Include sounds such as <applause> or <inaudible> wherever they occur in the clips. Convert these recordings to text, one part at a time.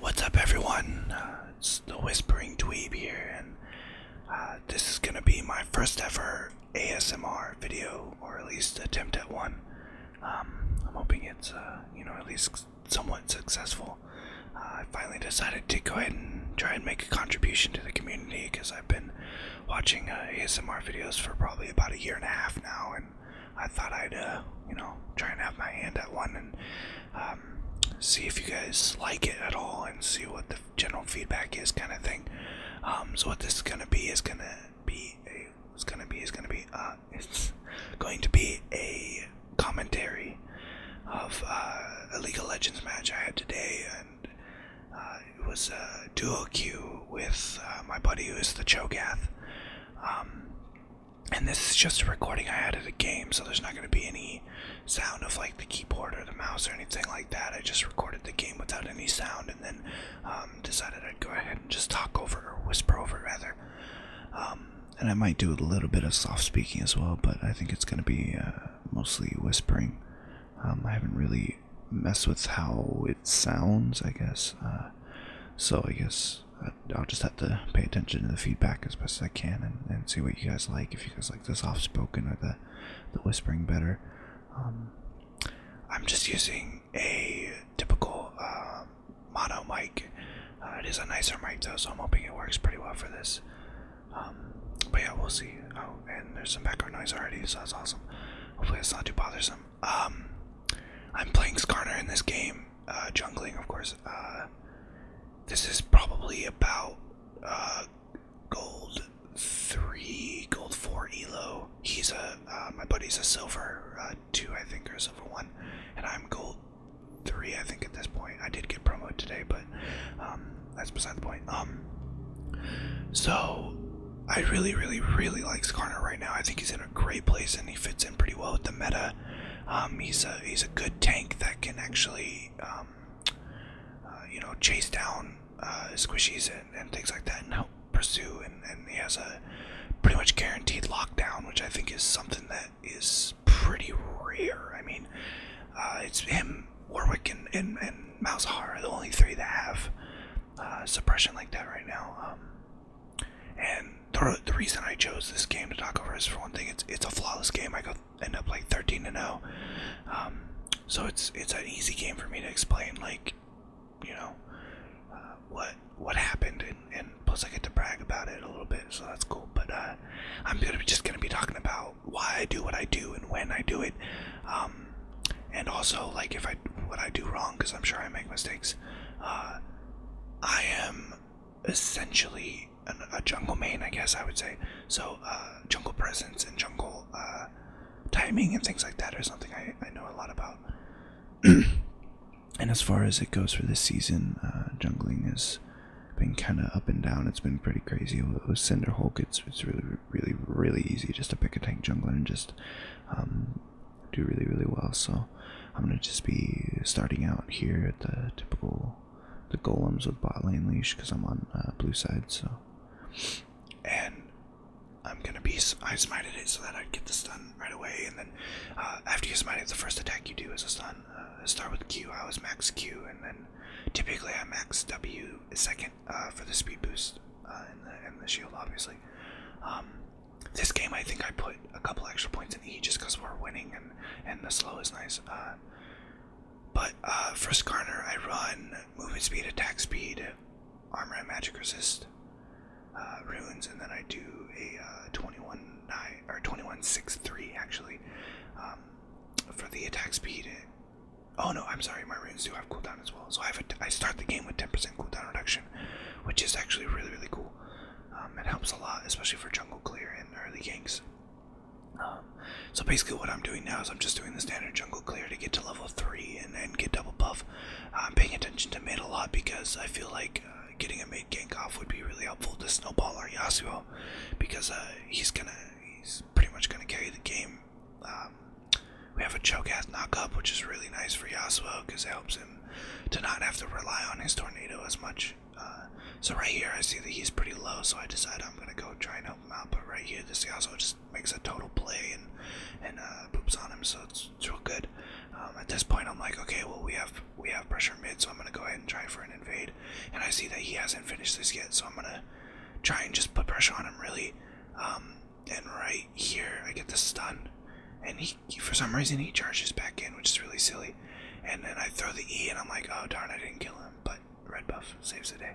What's up, everyone? Uh, it's the Whispering Tweeb here, and uh, this is gonna be my first ever ASMR video, or at least attempt at one. Um, I'm hoping it's, uh, you know, at least somewhat successful. I finally decided to go ahead and try and make a contribution to the community because I've been watching uh, ASMR videos for probably about a year and a half now, and I thought I'd, uh, you know, try and have my hand at one and um, see if you guys like it at all and see what the general feedback is, kind of thing. Um, so what this is gonna be is gonna be a, it's gonna be is gonna be uh, <laughs> it's going to be a commentary of a League of Legends match I had today. Uh, it was a dual queue with uh, my buddy who is the Cho'Gath. Um, and this is just a recording I had of the game, so there's not going to be any sound of like the keyboard or the mouse or anything like that. I just recorded the game without any sound and then um, decided I'd go ahead and just talk over or whisper over rather. Um, and I might do a little bit of soft speaking as well, but I think it's going to be uh, mostly whispering. I haven't really mess with how it sounds, I guess. Uh, so I guess uh, I'll just have to pay attention to the feedback as best I can and, and see what you guys like. If you guys like the soft spoken or the the whispering better, um, I'm just using a typical um, mono mic. Uh, it is a nicer mic though, so I'm hoping it works pretty well for this. Um, but yeah, we'll see. Oh, and there's some background noise already, so that's awesome. Hopefully it's not too bothersome. Um, I'm playing Skarner in this game, uh, jungling, of course. Uh, this is probably about uh, gold three, gold four elo. He's a my buddy's a silver two, I think, or silver one, and I'm gold three, I think, at this point. I did get promoted today, but um, that's beside the point. Um, so I really, really, really like Skarner right now. I think he's in a great place and he fits in pretty well with the meta. Um, he's a he's a good tank that can actually um, uh, you know chase down uh, squishies and, things like that and help pursue. And, and he has a pretty much guaranteed lockdown, which I think is something that is pretty rare. I mean, uh, it's him Warwick and, and, and Malzahar are the only three that have uh, suppression like that right now. Um, and the, the reason I chose this game to talk over is for one thing, it's it's a flawless game. I go end up like 13 to 0. Um, so it's it's an easy game for me to explain, like you know uh, what what happened, and, plus I get to brag about it a little bit, so that's cool. But uh, I'm gonna be just gonna be talking about why I do what I do and when I do it, um, and also like if I what I do wrong because I'm sure I make mistakes. Uh, I am essentially a jungle main, I guess I would say. So uh, jungle presence and jungle uh, timing and things like that are something I, I know a lot about. <clears throat> and as far as it goes for this season, uh, jungling has been kind of up and down. It's been pretty crazy with Cinder Hulk. It's it's really really, really easy just to pick a tank jungler and just um, do really, really well. So I'm gonna just be starting out here at the typical the golems of bot lane leash because I'm on uh, blue side. So and I'm gonna be I smited it so that I'd get the stun right away, and then uh, after you smite it, the first attack you do is a stun. Uh, start with Q. I was max Q, and then typically I max W second uh, for the speed boost uh, and, the, shield, obviously. Um, this game, I think I put a couple extra points in E just because we're winning and, and the slow is nice. Uh, but uh, for Skarner, I run movement speed, attack speed, armor and magic resist, uh, runes, and then I do a 21 nine, or 21 6 3 actually um, for the attack speed Oh no, I'm sorry, my runes do have cooldown as well. So I have a, I start the game with 10% cooldown reduction, which is actually really really cool. Um, it helps a lot, especially for jungle clear and early ganks. Um, so basically, what I'm doing now is I'm just doing the standard jungle clear to get to level three and, and get double buff. I'm paying attention to mid a lot because I feel like uh, getting a mid gank off would be really helpful to snowball our Yasuo because uh, he's gonna he's pretty much gonna carry the game um, we have a choke ass knock-up, which is really nice for Yasuo because it helps him to not have to rely on his tornado as much. Uh, so right here, I see that he's pretty low, so I decide I'm gonna go try and help him out. But right here, this Yasuo just makes a total play and and uh, poops on him, so it's, it's real good. Um, at this point, I'm like, okay, well we have we have pressure mid, so I'm gonna go ahead and try for an invade. And I see that he hasn't finished this yet, so I'm gonna try and just put pressure on him really. Um, and right here, I get the stun, and he, for some reason he charges back in, which is really silly. And then I throw the E, and I'm like, oh darn, I didn't kill him, but red buff saves the day.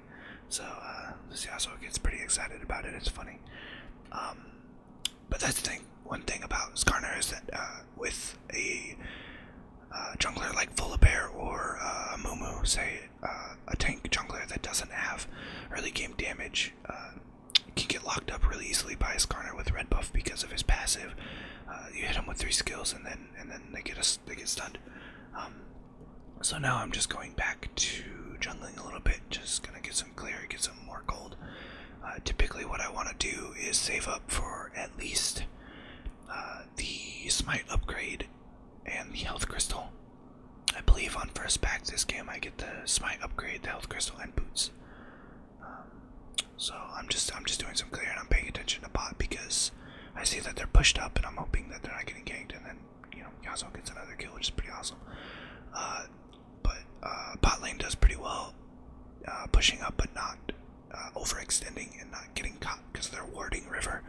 So uh, Yasuo gets pretty excited about it. It's funny. Um, but that's the thing. One thing about Skarner is that uh, with a uh, jungler like Volibear or a uh, Mumu, say uh, a tank jungler that doesn't have early game damage uh, can get locked up really easily by his Garner with red buff because of his passive. Uh, you hit him with three skills and then and then they get us they get stunned. Um, so now I'm just going back to jungling a little bit, just gonna get some clear, get some more gold. typically, what I want to do is save up for at least the smite upgrade and the health crystal. I believe on first pack this game I get the smite upgrade, the health crystal, and boots. Um, so I'm just I'm just doing some clearing. and I'm paying attention to pot because I see that they're pushed up and I'm hoping that they're not getting ganked and then you know Yasuo gets another kill which is pretty awesome. Uh, but uh, bot lane does pretty well uh, pushing up but not uh, overextending and not getting caught because they're warding river,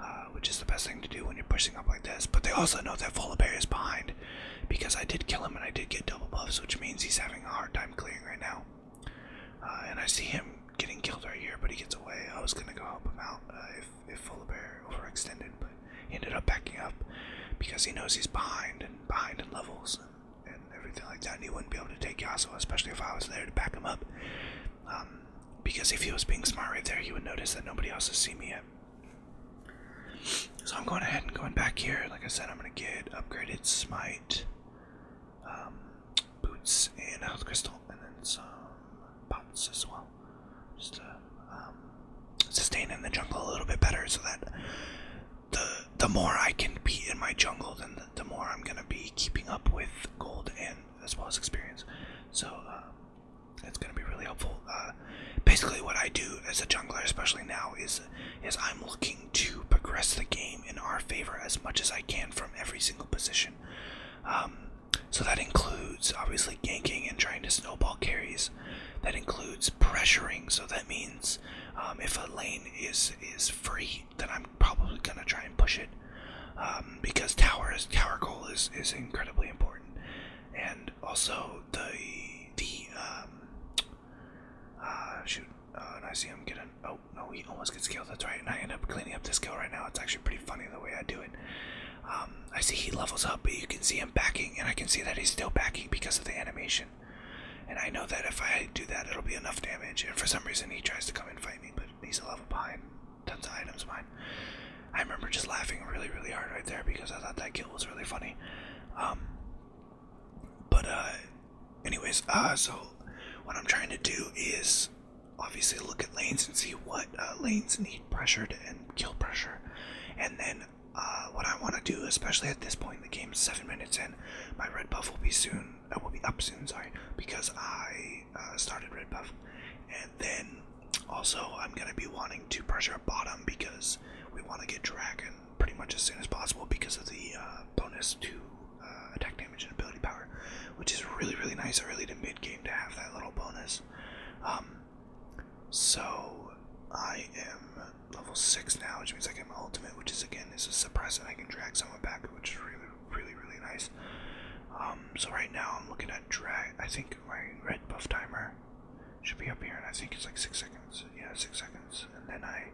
uh, which is the best thing to do when you're pushing up like this. But they also know that Volibear is behind because I did kill him and I did get double buffs, which means he's having a hard time clearing right now. Uh, and I see him getting killed right here, but he gets away. I was gonna go help him out uh, if if Volibear overextended, but he ended up backing up because he knows he's behind and behind in levels and, everything like that. And he wouldn't be able to take Yasuo, especially if I was there to back him up. Um, because if he was being smart right there, he would notice that nobody else has seen me yet. So I'm going ahead and going back here. Like I said, I'm going to get upgraded smite, um, boots, and health crystal, and then some pots as well. Just to um, sustain in the jungle a little bit better so that the the more I can be in my jungle, then the more I'm going to be keeping up with gold and as well as experience. So uh, it's going to be really helpful. Uh, basically, what I do as a jungler, especially now, is is I'm looking to progress the game in our favor as much as I can from every single position. Um, so that includes obviously ganking and trying to snowball carries. That includes pressuring. So that means um, if a lane is is free, then I'm probably gonna try and push it um, because tower is tower goal is is incredibly important, and also the the um, uh, shoot. Uh, and I see him getting. Oh no, he almost gets killed. That's right. And I end up cleaning up this kill right now. It's actually pretty funny the way I do it. Um, I see he levels up, but you can see him backing, and I can see that he's still backing because of the animation. And I know that if I do that, it'll be enough damage. And for some reason, he tries to come and fight me, but he's a level behind tons of items mine. I remember just laughing really, really hard right there because I thought that kill was really funny. Um, but uh, anyways, uh, so what I'm trying to do is obviously look at lanes and see what uh, lanes need pressured and kill pressure, and then uh, what I want to do, especially at this point in the game, seven minutes in, my red buff will be soon. I will be up soon, sorry, because I uh, started Red Buff. And then also, I'm going to be wanting to pressure bottom because we want to get Dragon pretty much as soon as possible because of the uh, bonus to uh, attack damage and ability power, which is really, really nice early to mid game to have that little bonus. Um, so I am level 6 now, which means I get my ultimate, which is again is a suppressant. I can drag someone back, which is really, really, really nice. Um, so right now I'm looking at drag. I think my red buff timer should be up here, and I think it's like six seconds. Yeah, six seconds, and then I.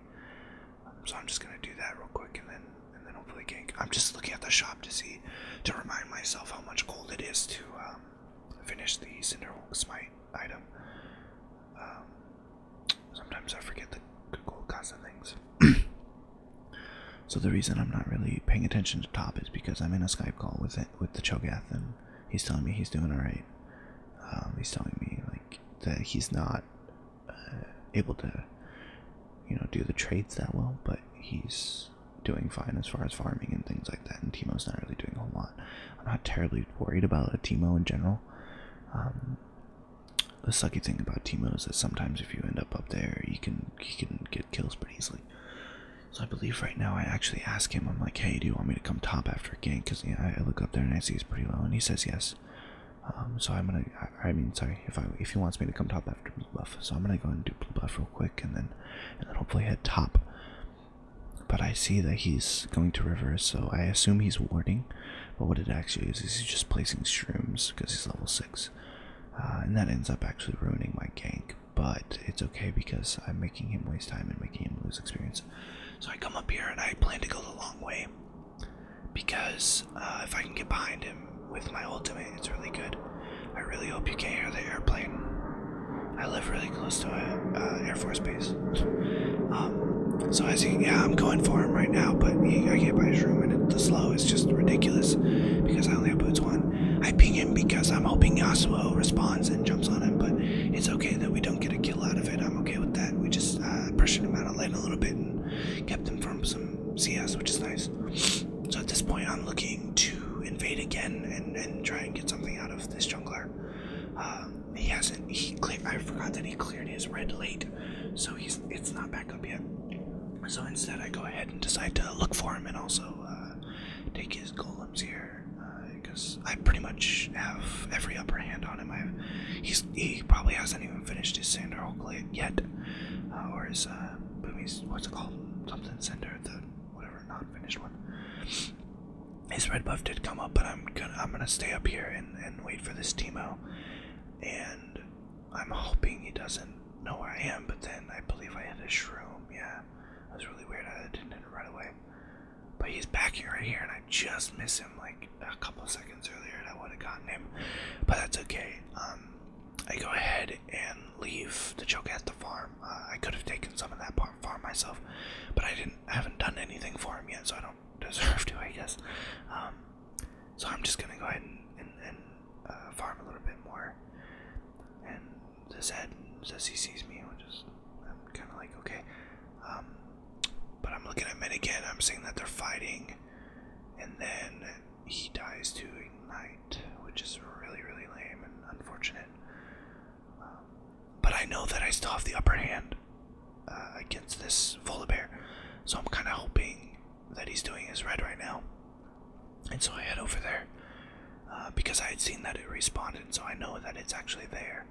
so I'm just gonna do that real quick, and then and then hopefully gank. I'm just looking at the shop to see to remind myself how much gold it is to um, finish the Cinderwolf Smite item. Um, sometimes I forget the gold cost of things. <clears throat> So the reason I'm not really paying attention to Top is because I'm in a Skype call with with the Cho'Gath, and he's telling me he's doing all right. Um, he's telling me like that he's not uh, able to, you know, do the trades that well, but he's doing fine as far as farming and things like that. And Timo's not really doing a whole lot. I'm not terribly worried about a Timo in general. Um, the sucky thing about Timo is that sometimes if you end up up there, you can you can get kills pretty easily. So I believe right now I actually ask him. I'm like, hey, do you want me to come top after a gank? Because I look up there and I see he's pretty low, and he says yes. Um, so I'm gonna. I, mean, sorry. If I if he wants me to come top after blue buff, so I'm gonna go and do blue buff real quick, and then and then hopefully head top. But I see that he's going to river, so I assume he's warding. But what it actually is, is he's just placing shrooms because he's level 6. Uh, and that ends up actually ruining my gank. But it's okay because I'm making him waste time and making him lose experience. So I come up here and I plan to go the long way. Because uh, if I can get behind him with my ultimate, it's really good. I really hope you can hear the airplane. I live really close to an uh, Air Force base. Um, so as you, yeah, I'm going for him right now, but I can't buy his room, and it, the slow is just ridiculous because I only have boots on, I ping him because I'm hoping Yasuo responds and jumps on him, but it's okay that we don't get a kill out of it. I'm okay with that. We just uh, pressured him out of lane a little bit and kept him from some CS, which is nice. So at this point, I'm looking to invade again and, try and get something out of this jungler. Uh, he hasn't. He cleared. I forgot that he cleared his red late, so he's it's not back up yet. So instead, I go ahead and decide to look for him and also uh, take his golems here because uh, I pretty much have every upper hand on him. he's he probably hasn't even finished his Sander Hulk yet, uh, or his What's it called? Something Sander the whatever not finished one. His red buff did come up, but I'm gonna I'm gonna stay up here and and wait for this Teemo and I'm hoping he doesn't know where I am, but then I believe I hit a shroom. Yeah, that was really weird. I didn't hit it right away. But he's backing right here, and I just miss him like a couple seconds earlier, and I would have gotten him. But that's okay. Um, I go ahead and leave the joke at the farm. Uh, I could have taken some of that farm myself, but I didn't. I haven't done anything for him yet, so I don't deserve to, I guess. Um, so I'm just gonna go ahead and, uh, farm a little bit more. And this head says he sees me, which is I'm kind of like okay. Um, but I'm looking at men again. I'm seeing that they're fighting, and then he dies to ignite, which is really really lame and unfortunate. Um, but I know that I still have the upper hand. Uh, against this Volibear. So I'm kind of hoping that he's doing his red right now. And so I head over there uh, because I had seen that it responded, so I know that it's actually there.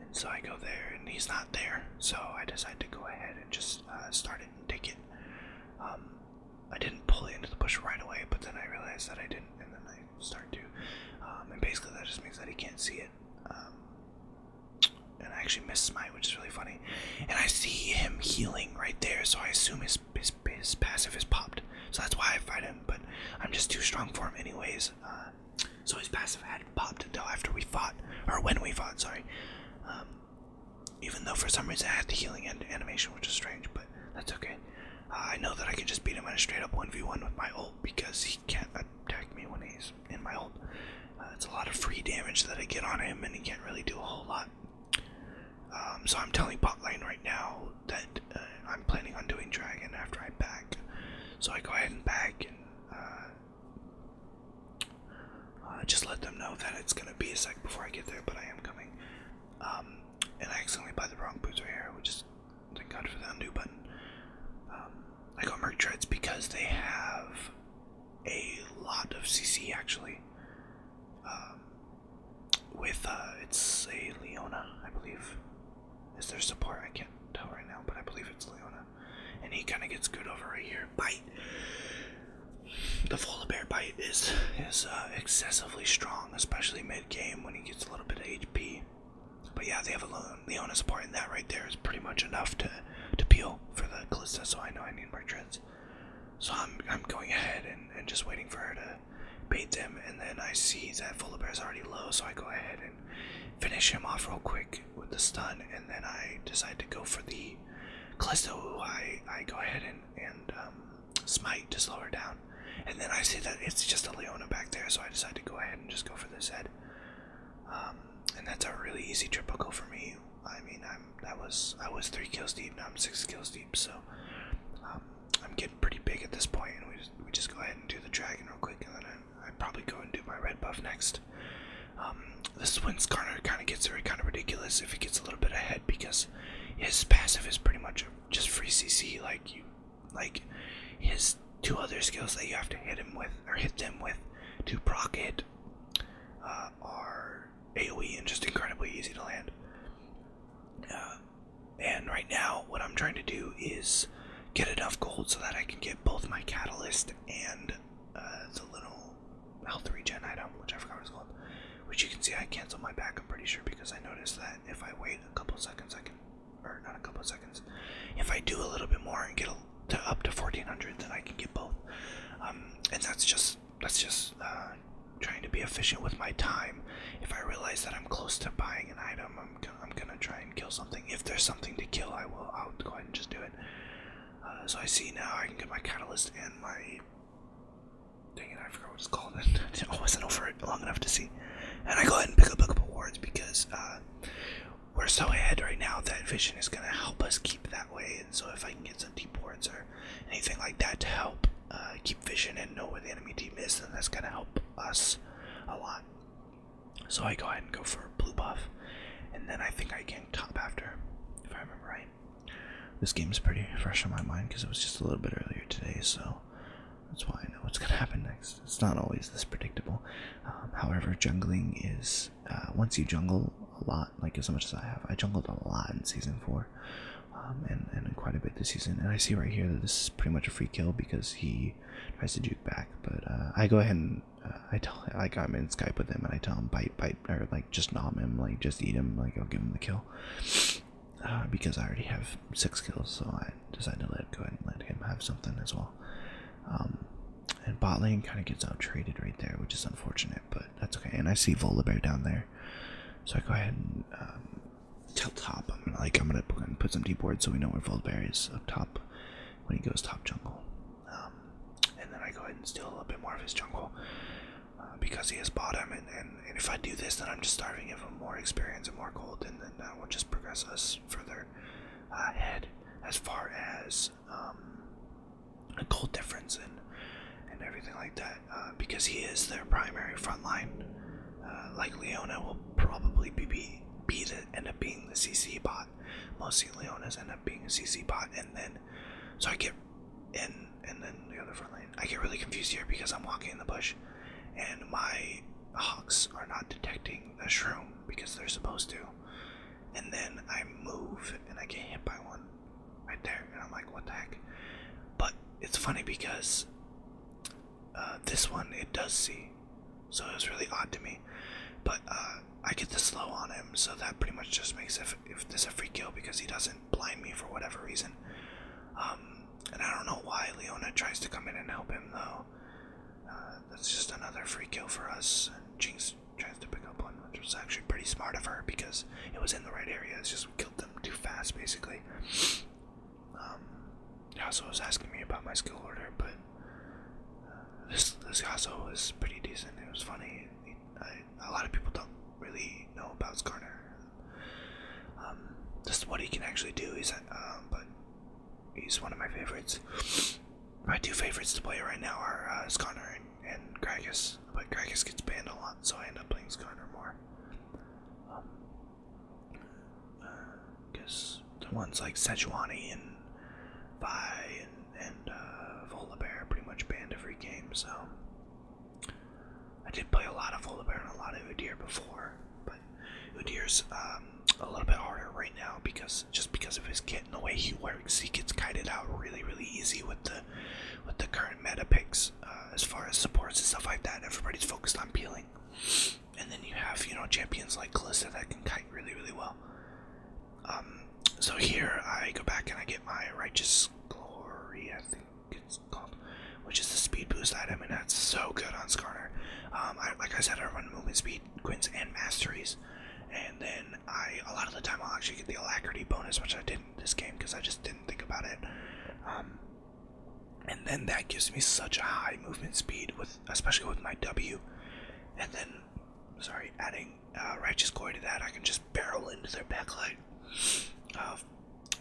And so I go there, and he's not there, so I decide to go ahead and just uh, start it and take it. Um, I didn't pull it into the bush right away, but then I realized that I didn't, and then I start to. Um, and basically, that just means that he can't see it. Um, and I actually miss my, which is really funny. And I see him healing right there, so I assume his, his, passive is popped. So that's why I fight him, but I'm just too strong for him anyways. Uh, so his passive hadn't popped until after we fought, or when we fought, sorry. Um, even though for some reason I had the healing animation, which is strange, but that's okay. Uh, I know that I can just beat him at a straight up 1v1 with my ult because he can't attack me when he's in my ult. Uh, it's a lot of free damage that I get on him, and he can't really do a whole lot. Um, so I'm telling bot lane right now that uh, I'm planning on doing dragon after I back. So I go ahead and back and uh, just let them know that it's gonna be a sec before I get there, but I am coming. Um, and I accidentally buy the wrong boots right here, which is thank God for the undo button. Um, I got Merc Treads because they have a lot of CC actually. Um, with uh, it's a Leona, I believe. Is there support? I can't tell right now, but I believe it's Leona. And he kind of gets good over right here. Bite. The Bear bite is is uh, excessively strong, especially mid game when he gets a little bit of HP. But yeah, they have a Leona support, and that right there is pretty much enough to to peel for the Calista, so I know I need more treads. So I'm I'm going ahead and, and just waiting for her to bait them, and then I see that is already low, so I go ahead and finish him off real quick with the stun, and then I decide to go for the Callisto. I I go ahead and and um, smite to slow her down, and then I see that it's just a Leona back there, so I decide to go ahead and just go for this head. Um, and that's a really easy triple kill for me. I mean, I'm that was I was three kills deep. Now I'm six kills deep. So um, I'm getting pretty big at this point, and we just, we just go ahead and do the dragon real quick, and then I probably go and do my red buff next. Um, this is when Skarner kind of gets very kind of ridiculous if he gets a little bit ahead because his passive is pretty much just free CC. Like you, like his two other skills that you have to hit him with or hit them with to proc it uh, are AoE and just incredibly easy to land. Uh, and right now, what I'm trying to do is get enough gold so that I can get both my catalyst and uh, the little health regen item, which I forgot what it's called. Which you can see, I canceled my back. I'm pretty sure because I noticed that if I wait a couple seconds, I can, or not a couple seconds, if I do a little bit more and get a to up to 1400 then I can get both um, and that's just that's just uh, trying to be efficient with my time if I realize that I'm close to buying an item I'm gonna, I'm gonna try and kill something if there's something to kill I will I'll go ahead and just do it uh, so I see now I can get my catalyst and my dang it I forgot what it's called <laughs> I wasn't over it long enough to see and I go ahead and pick up a couple awards because uh, we're so ahead right now that vision is going to help us keep that way. And so if I can get some deep wards or anything like that to help uh, keep vision and know where the enemy team is, then that's going to help us a lot. So I go ahead and go for blue buff. And then I think I can top after, if I remember right. This game is pretty fresh on my mind because it was just a little bit earlier today, so that's why I know what's going to happen next it's, not always this predictable. Um, however, jungling is uh, once you jungle a lot, like as much as I have, I jungled a lot in season four, um, and and quite a bit this season. And I see right here that this is pretty much a free kill because he tries to juke back, but uh, I go ahead and uh, I tell like I'm in Skype with him and I tell him bite bite or like just nom him, like just eat him, like I'll give him the kill. because I already have six kills, so I decided to let go ahead and let him have something as well. Um, and bot lane kind of gets out traded right there, which is unfortunate, but that's okay. And I see Volibear down there, so I go ahead and um, tell top. I'm gonna like I'm gonna put some deep boards so we know where Volibear is up top when he goes top jungle. Um, and then I go ahead and steal a bit more of his jungle uh, because he has bottom. And, and, and if I do this, then I'm just starving him for more experience and more gold, and then that will just progress us further further as far as um, a goal difference and and everything like that uh, because he is their primary front line. Uh, like Leona will probably be, be, be the, end up being the CC bot. Mostly Leona's end up being a CC bot, and then so I get and and then the other front lane. I get really confused here because I'm walking in the bush, and my hawks are not detecting the shroom because they're supposed to. And then I move and I get hit by one right there. And I'm like, what the heck? But it's funny because uh, this one, it does see. So it was really odd to me. But uh, I get the slow on him. So that pretty much just makes if, if this a free kill because he doesn't blind me for whatever reason. Um, and I don't know why Leona tries to come in and help him though. Uh, that's just another free kill for us. And Jinx tries to pick up one, which was actually pretty smart of her because it was in the right area. It's just we killed them too fast, basically. Um, was asking me about my skill order, but uh, this this Yasuo was pretty decent. It was funny. A lot of people don't really know about Skarner. Um, just what he can actually do. He's, uh, but He's one of my favorites. My two favorites to play right now are uh, and, and but Gragas gets banned a lot, so I end up playing Sconner more. Because um, uh, the ones like Sejuani and Vi and, uh, Volibear are pretty much banned every game, so. I did play a lot of Volibear and a lot of Udyr before, who Udir's um, a little bit harder right now because just because of his kit and the way he works, he gets kited out really, really easy with the with the current meta picks uh, as far as supports and stuff like that. Everybody's focused on peeling, and then you have you know champions like Kalista that can kite really, really well. Um, so here I go back and I get my righteous glory, I think it's called, which is the speed boost item, and that's so good on Skarner. Um, like I said, I run movement speed complete Quins and Masteries. And then I, a lot of the time, I'll actually get the Alacrity bonus, which I didn't this game because I just didn't think about it. Um, and then that gives me such a high movement speed, with especially with my W. And then, sorry, adding uh, Righteous Glory to that, I can just barrel into their backlight. Uh, um,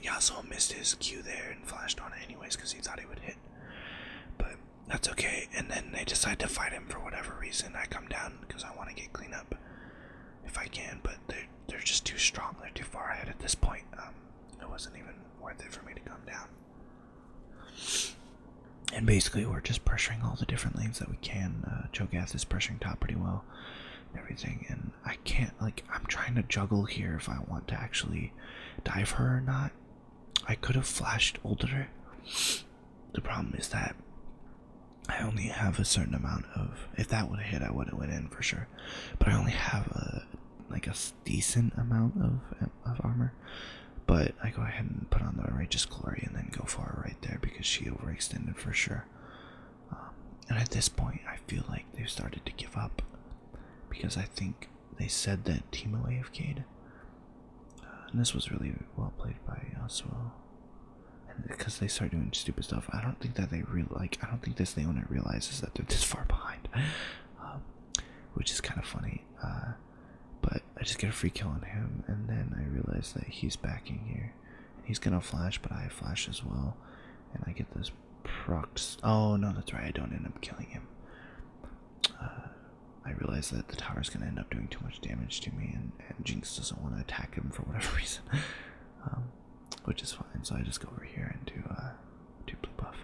Yasuo missed his Q there and flashed on it anyways because he thought he would hit. But that's okay. And then they decide to fight him for whatever reason. I come down because I want to get clean up if I can, but they're, they're just too strong. They're too far ahead at this point. Um, it wasn't even worth it for me to come down. And basically, we're just pressuring all the different lanes that we can. Uh, Cho'Gath is pressuring top pretty well, everything. And I can't, like, I'm trying to juggle here if I want to actually dive her or not. I could have flashed older. The problem is that I only have a certain amount of. If that would have hit, I would have went in for sure. But I only have a like a decent amount of of armor. But I go ahead and put on the righteous glory and then go for her right there because she overextended for sure. Um, and at this point, I feel like they've started to give up because I think they said that Team AFK'd. Uh, and this was really well played by Oswell. And because they start doing stupid stuff, I don't think that they really like. I don't think this the owner realizes that they're this far behind, <laughs> um, which is kind of funny. Uh, but I just get a free kill on him, and then I realize that he's backing here. He's gonna flash, but I flash as well, and I get this prox. Oh no, that's right. I don't end up killing him. I realize that the tower is going to end up doing too much damage to me, and, Jinx doesn't want to attack him for whatever <laughs> reason, um, which is fine. So I just go over here and do uh, do blue buff.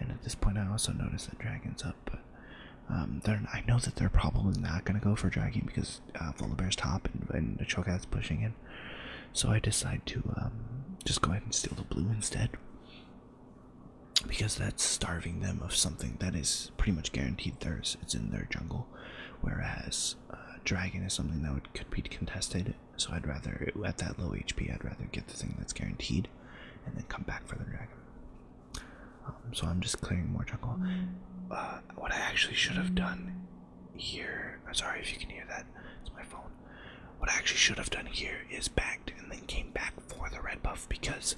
And at this point, I also notice that Dragon's up, but um, I know that they're probably not going to go for Dragon because uh, Volibear's top and, and the Cho'Gath's pushing in. So I decide to um, just go ahead and steal the blue instead because that's starving them of something that is pretty much guaranteed There's It's in their jungle, whereas uh, dragon is something that could be contested. So I'd rather at that low HP, I'd rather get the thing that's guaranteed, and then come back for the dragon. Um, so I'm just clearing more jungle. Uh, what I actually should have done here. I'm sorry if you can hear that. It's my phone. What I actually should have done here is backed and then came back for the red buff because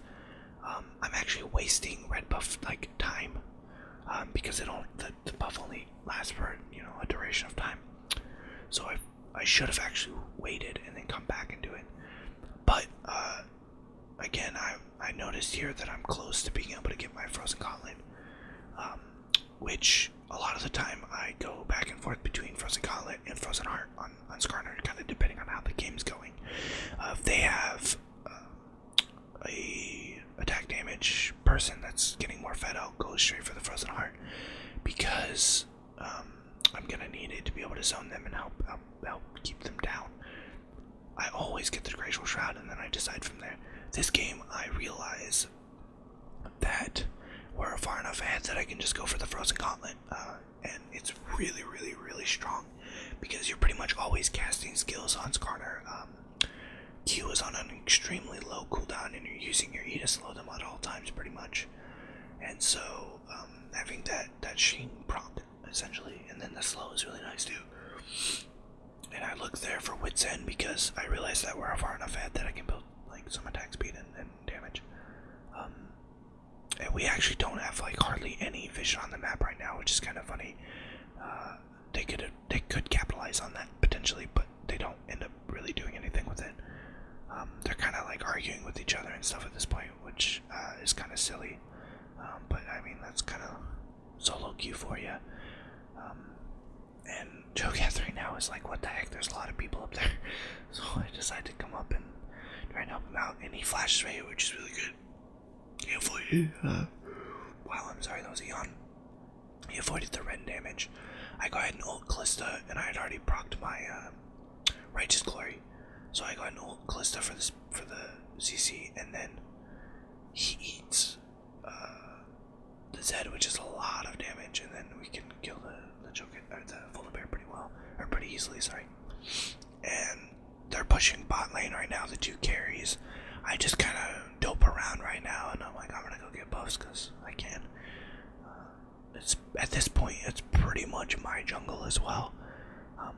um, I'm actually wasting red buff like time um, because it only the, buff only lasts for you know a duration of time. So I I should have actually waited and then come back and do it. But uh, again, I I noticed here that I'm close to being able to get my frozen gauntlet, um, which a lot of the time I go back and forth between Frozen Gauntlet and Frozen Heart on, on Skarner, kind of depending on how the game's going. if uh, they have uh, a attack damage person that's getting more fed out, go straight for the Frozen Heart because um, I'm gonna need it to be able to zone them and help um, help keep them down. I always get the Glacial Shroud and then I decide from there. This game, I realize that were far enough ahead that I can just go for the Frozen Gauntlet. Uh, and it's really, really, really strong because you're pretty much always casting skills on Skarner. Um, Q is on an extremely low cooldown and you're using your E to slow them at all times pretty much. And so um, having that, that Sheen prompt essentially and then the slow is really nice too. And I look there for Wits End because I realize that we're far enough ahead that I can build like some attack speed and damage. Um, and we actually don't have like hardly any vision on the map right now, which is kind of funny. Uh, they could they could capitalize on that potentially, but they don't end up really doing anything with it. Um, they're kind of like arguing with each other and stuff at this point, which uh, is kind of silly. Um, but I mean that's kind of solo queue for you and Joe right now is like, what the heck? There's a lot of people up there, <laughs> so I decided to come up and try and help him out. And he flashes right, which is really good. He avoided. Uh, wow, I'm sorry, that was a yawn. He avoided the red damage. I go ahead and ult Callista, and I had already procced my um, Righteous Glory, so I got an ult Callista for this for the CC, and then he eats. Uh, the Z, which is a lot of damage, and then we can kill the the Joker or uh, the Volibear pretty well, or pretty easily. Sorry. And they're pushing bot lane right now. The two carries. I just kind of dope around right now, and I'm like, I'm gonna go get buffs because I can. Uh, it's at this point, it's pretty much my jungle as well. Um,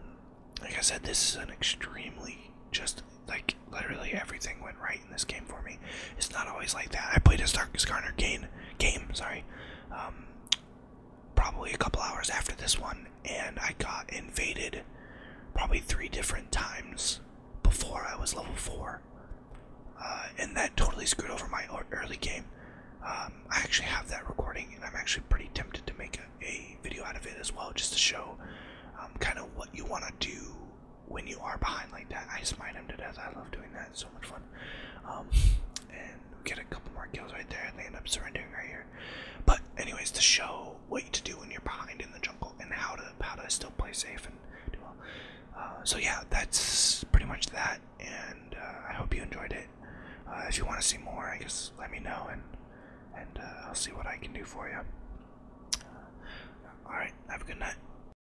like I said, this is an extremely just like literally everything went right in this game for me. It's not always like that. I played a Darkest Garner game, game sorry, um, probably a couple hours after this one, and I got invaded probably three different times before I was level 4. Uh, and that totally screwed over my early game. Um, I actually have that recording, and I'm actually pretty tempted to make a, video out of it as well, just to show um, kind of what you want to do when you are behind like that, I smite him to death. I love doing that. It's so much fun. Um, and we get a couple more kills right there, and they end up surrendering right here. But anyways, to show what to do when you're behind in the jungle and how to how to still play safe and do well. Uh, so yeah, that's pretty much that. And uh, I hope you enjoyed it. Uh, if you want to see more, I guess let me know, and and I'll see what I can do for you. all right, have a good night.